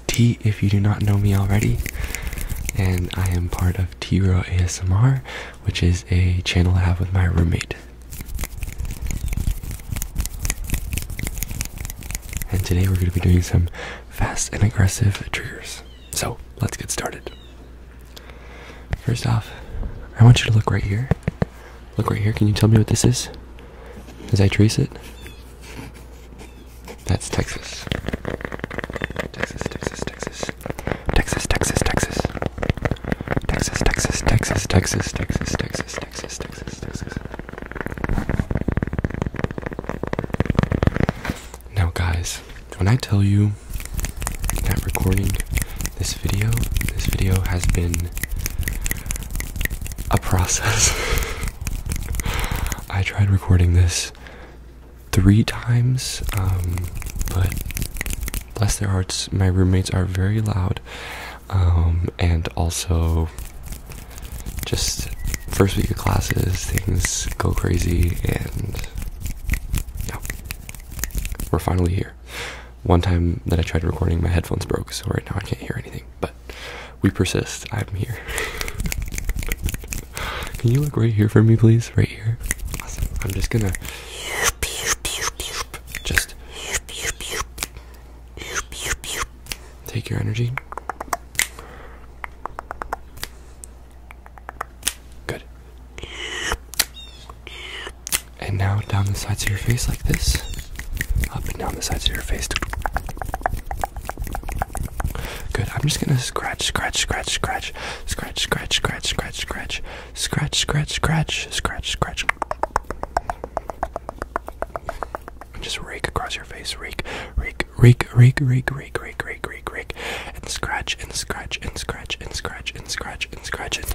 T if you do not know me already. And I am part of T Row ASMR, which is a channel I have with my roommate. And today we're going to be doing some fast and aggressive triggers. So let's get started. First off, I want you to look right here. Look right here. Can you tell me what this is? As I trace it? That's Texas. Texas, Texas, Texas. Texas, Texas, Texas. Texas, Texas, Texas, Texas, Texas, Texas, Texas, Texas, Texas. Now, guys, when I tell you that recording this video, this video has been a process. I tried recording this three times, um, but bless their hearts, my roommates are very loud, um, and also just first week of classes, things go crazy, and yeah, we're finally here. One time that I tried recording, my headphones broke, so right now I can't hear anything, but we persist. I'm here. Can you look right here for me, please? Right here. I'm just gonna just take your energy. Good. And now down the sides of your face like this up and down the sides of your face. Good. I'm just gonna scratch, scratch, scratch, scratch, scratch, scratch, scratch, scratch, scratch, scratch, scratch, scratch, scratch, scratch. Just rake across your face, rake, rake, rake, rake, rake, rake, rake, rake, rake, rake, and scratch and scratch and scratch and scratch and scratch and scratch it.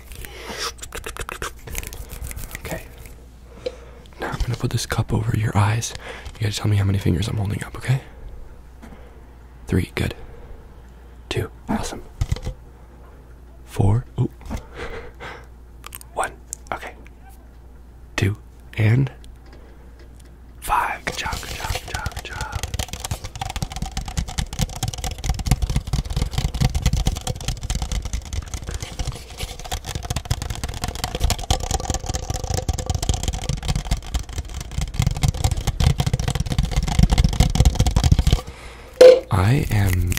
Okay. Now I'm gonna put this cup over your eyes. You gotta tell me how many fingers I'm holding up, okay? Three, good. Two, awesome. Four, ooh. One, okay. Two, and five. Good job, good job, job, job. I am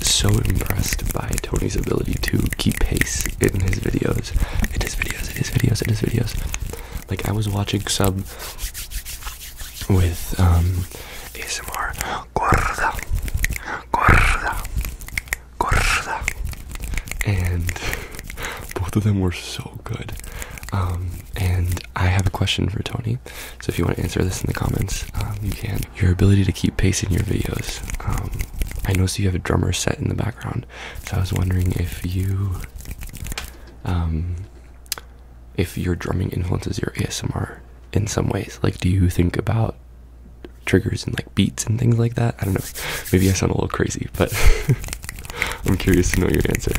so impressed by Tony's ability to keep pace in his videos. In his videos, in his videos, in his videos. Like I was watching some with um, ASMR. Gorda, gorda, gorda, and both of them were so good. Um, and I have a question for Tony. So if you want to answer this in the comments, um, you can. Your ability to keep pace in your videos. Um, I noticed you have a drummer set in the background, so I was wondering if you if your drumming influences your ASMR in some ways. Like, do you think about triggers and like beats and things like that? I don't know. Maybe I sound a little crazy, but I'm curious to know your answer.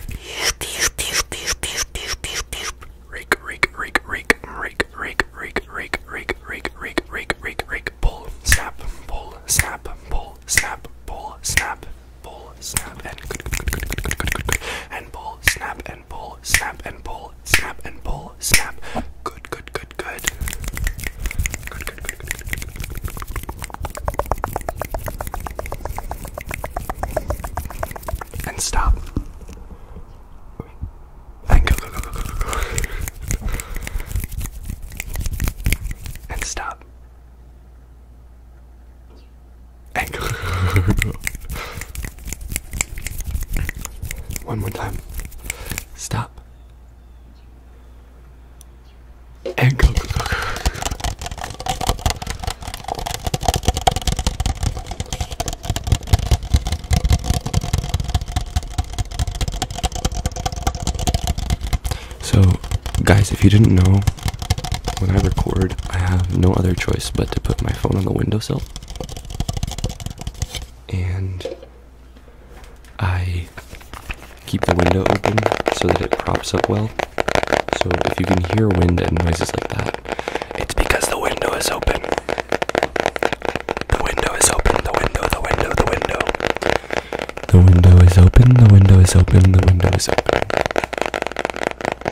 Rake, rake, rake, rake, rake, rake, rake, rake, rake, rake, rake, rake, rake, rake, pull, snap, pull, snap, pull, snap, pull, snap, pull, snap, and pull, snap, and and pull, snap and pull, snap and pull, snap. Good, good, good, good. Good, good, good, good, good, good. And stop. And go, go, go, go, go, go. And stop. Anchor. One more time. Stop. Anchor. So, guys, if you didn't know, when I record, I have no other choice but to put my phone on the windowsill and I keep the window open so that it props up well. So if you can hear wind and noises like that, it's because the window is open. The window is open, the window, the window, the window. The window is open, the window is open, the window is open.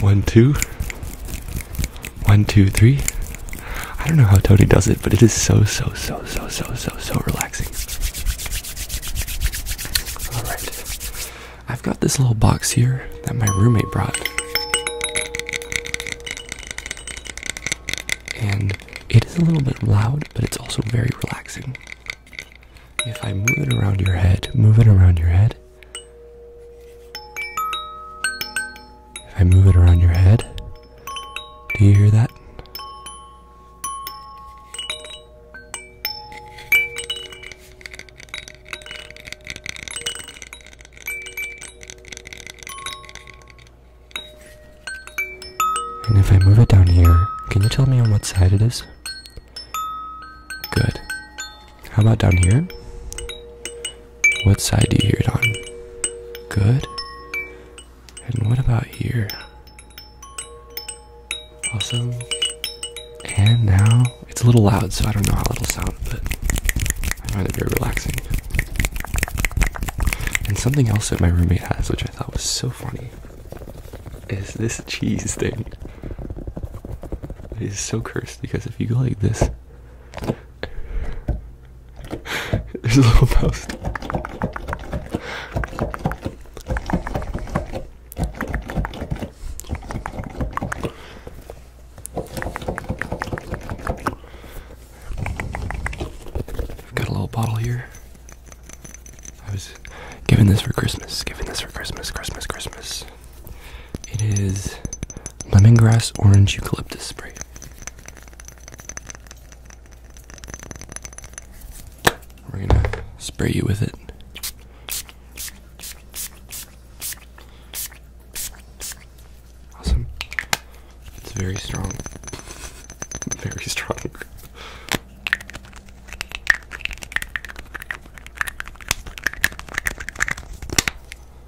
One two, one two three. I don't know how Tony does it, but it is so, so, so, so, so, so, so relaxing. Alright. I've got this little box here that my roommate brought. And it is a little bit loud, but it's also very relaxing. If I move it around your head, move it around your head, if I move it around your head, do you hear that? And if I move it down here, can you tell me on what side it is? Good. How about down here? What side do you hear it on? Good. And what about here? Awesome. And now it's a little loud, so I don't know how it'll sound, but I find it very relaxing. And something else that my roommate has, which I thought was so funny, is this cheese thing. It is so cursed because if you go like this, there's a little mouse. got a little bottle here. I was given this for Christmas, given this for Christmas, Christmas, Christmas. It is lemongrass orange eucalyptus spray. We're gonna spray you with it. Awesome. It's very strong. Very strong.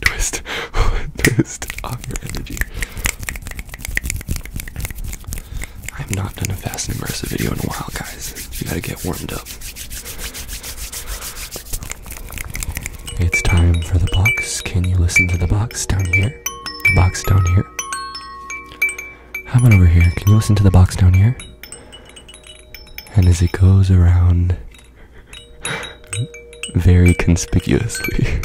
twist, twist off your energy. I have not done a fast and immersive video in a while, guys. You gotta get warmed up. It's time for the box. Can you listen to the box down here? The box down here. How about over here? Can you listen to the box down here? And as it goes around very conspicuously,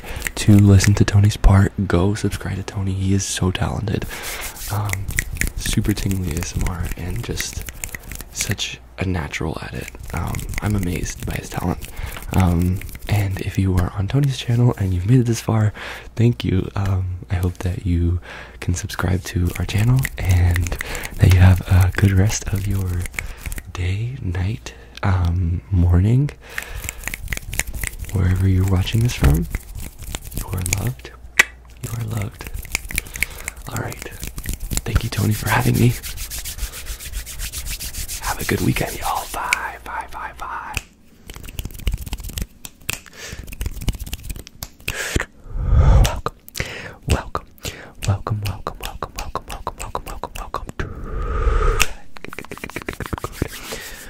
to listen to Tony's part. Go subscribe to Tony. He is so talented. Um, super tingly ASMR and just such a natural at it. Um, I'm amazed by his talent. Um, and if you are on Tony's channel and you've made it this far, thank you. I hope that you can subscribe to our channel and that you have a good rest of your day, night, morning, wherever you're watching this from, you are loved. You are loved. Alright. Thank you, Tony, for having me. Have a good weekend, y'all. Bye, bye, bye, bye. Welcome, welcome, welcome, welcome, welcome, welcome, welcome, welcome, welcome, welcome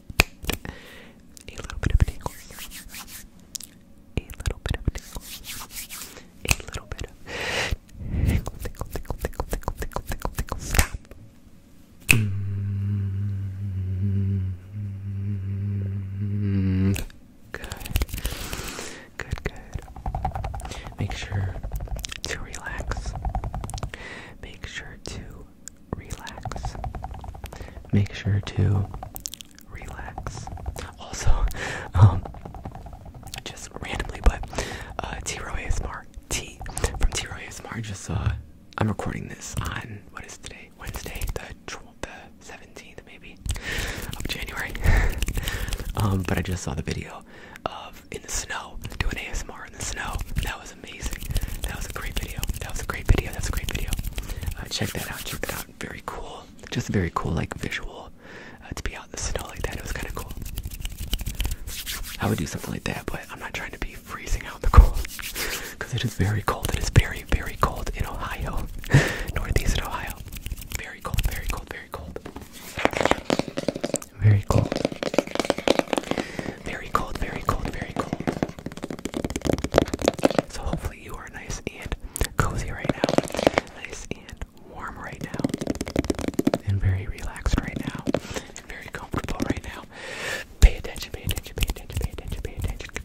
a little bit of an a little bit of an a little bit of tingle, tingle, tingle, tingle, tingle, tingle, tingle, tingle, stop. Good, good, good. Make sure to relax. Make sure to relax. Make sure to relax. Also, um, just randomly, but uh, T Row ASMR, T from T Row ASMR. Just saw. Uh, I'm recording this on what is today? Wednesday, the the seventeenth, maybe of January. Um, but I just saw the video of in the snow doing ASMR in the snow was amazing. That was a great video. That was a great video. That's a great video. Uh, check that out. Check that out. Very cool. Just very cool, like visual. Uh, to be out in the snow like that, it was kind of cool. I would do something like that, but I'm not trying to be freezing out in the cold because it is very cold. It is very, very cold in Ohio, northeastern Ohio. Very cold, very cold, very cold. Very cold. Very cold, very cold, very cold. So hopefully you are nice and cozy right now, nice and warm right now, and very relaxed right now, and very comfortable right now. Pay attention, pay attention, pay attention, pay attention, pay attention.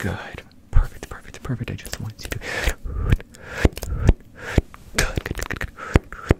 Good. Perfect, perfect, perfect. I just want you to. Good, good, good, good.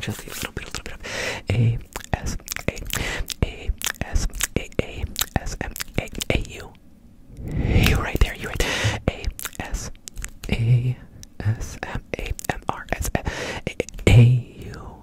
Just a little bit, a little bit of A S A A S A A S M A A U. You right there, you right A S A S M A M R S A A U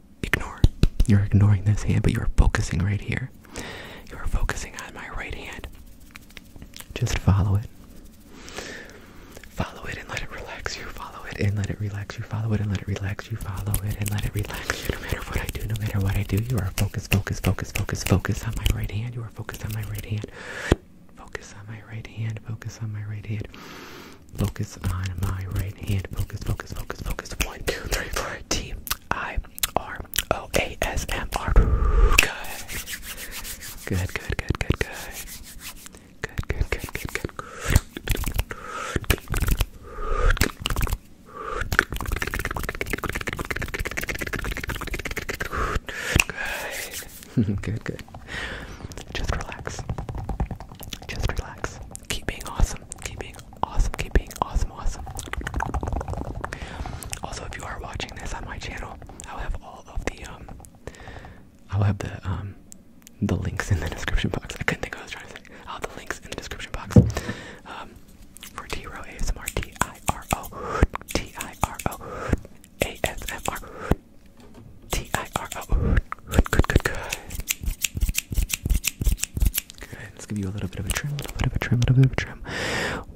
ignore. You're ignoring this hand, but you're focusing right here. You're focusing on my right hand. Just follow it. Follow it and let it relax you. Follow it and let it relax you. Follow it and let it relax you. Follow it and let it relax you. No matter what I do, no matter what I do, you are focused, focused, focused, focused, focused on my right hand. You are focused on my right hand. Focus on my right hand. Focus on my right hand. Focus on my right hand focus, focus, focus, focus. One, two, three, four. T I R O A S M R. Good. Good, good, good, good, good. Good, good, good, good, good. Good. good, good. Just relax. Just relax keep being awesome. Keep being awesome. Keep being awesome. Awesome. Also, if you are watching this on my channel, I'll have all of the um, I'll have the um, the links in the description box. I couldn't think of what I was trying to say. I'll have the links in the description box. Um, for T ASMR, T I R O, T I R O, A S M R, T I R O. Good, good, good, good. Good. Let's give you a little bit of a trim, a little bit of a trim, a little bit of a trim.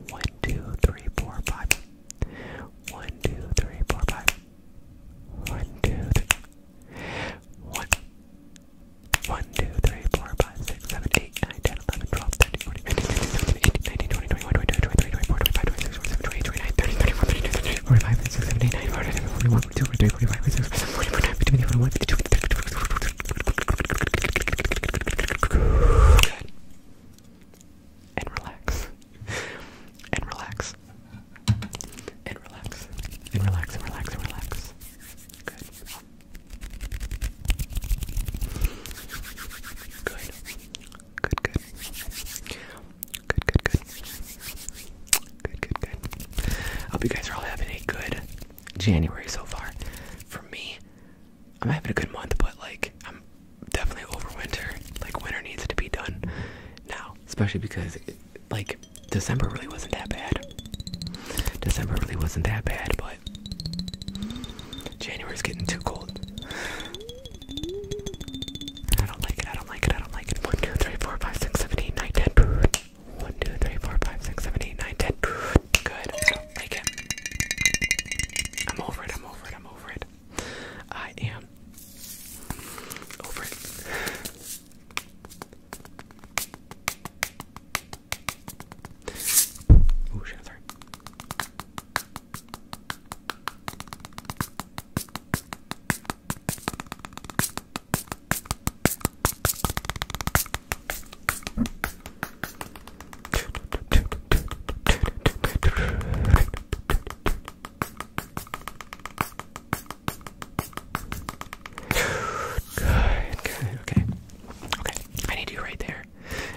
One, two, three, four, five. One, two, three, four, five. One, two, three. One. One, two, three, four, five, six, seven, eight, nine, ten, eleven, twelve, thirteen, fourteen, fifteen, sixteen, seventeen, eighteen, nineteen, twenty, twenty-one, twenty-two, twenty-three, twenty-four, twenty-five, twenty-six, twenty-seven, twenty-eight, twenty-nine, thirty, thirty-one, thirty-two, thirty-three, forty-five, thirty-six, thirty-eight, thirty-nine, forty, forty-one, and relax and relax and relax and relax and relax and relax good good good good good good good good good good good hope you guys are all having a good January so far. For me, I'm having a good month, but like I'm definitely over winter. Like winter needs to be done now, especially because like December really wasn't that bad. December really wasn't that bad, but January's getting too cold. I don't like it. I don't like it. I don't like it. 1, 1, 2, 3, 4, 5, 6, 7, 8, 9, 10. Good. I don't like it. I'm over it. I'm over it. I'm over it. I am over it. Ooh, shit, sorry. Good, okay. Okay, I need you right there.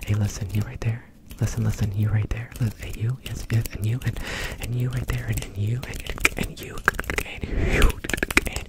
Hey, listen, you right there. Listen, listen, you right there. Listen, hey, you, yes, yes, and you, and and you right there, and, and you, and, and you, and you, and you, and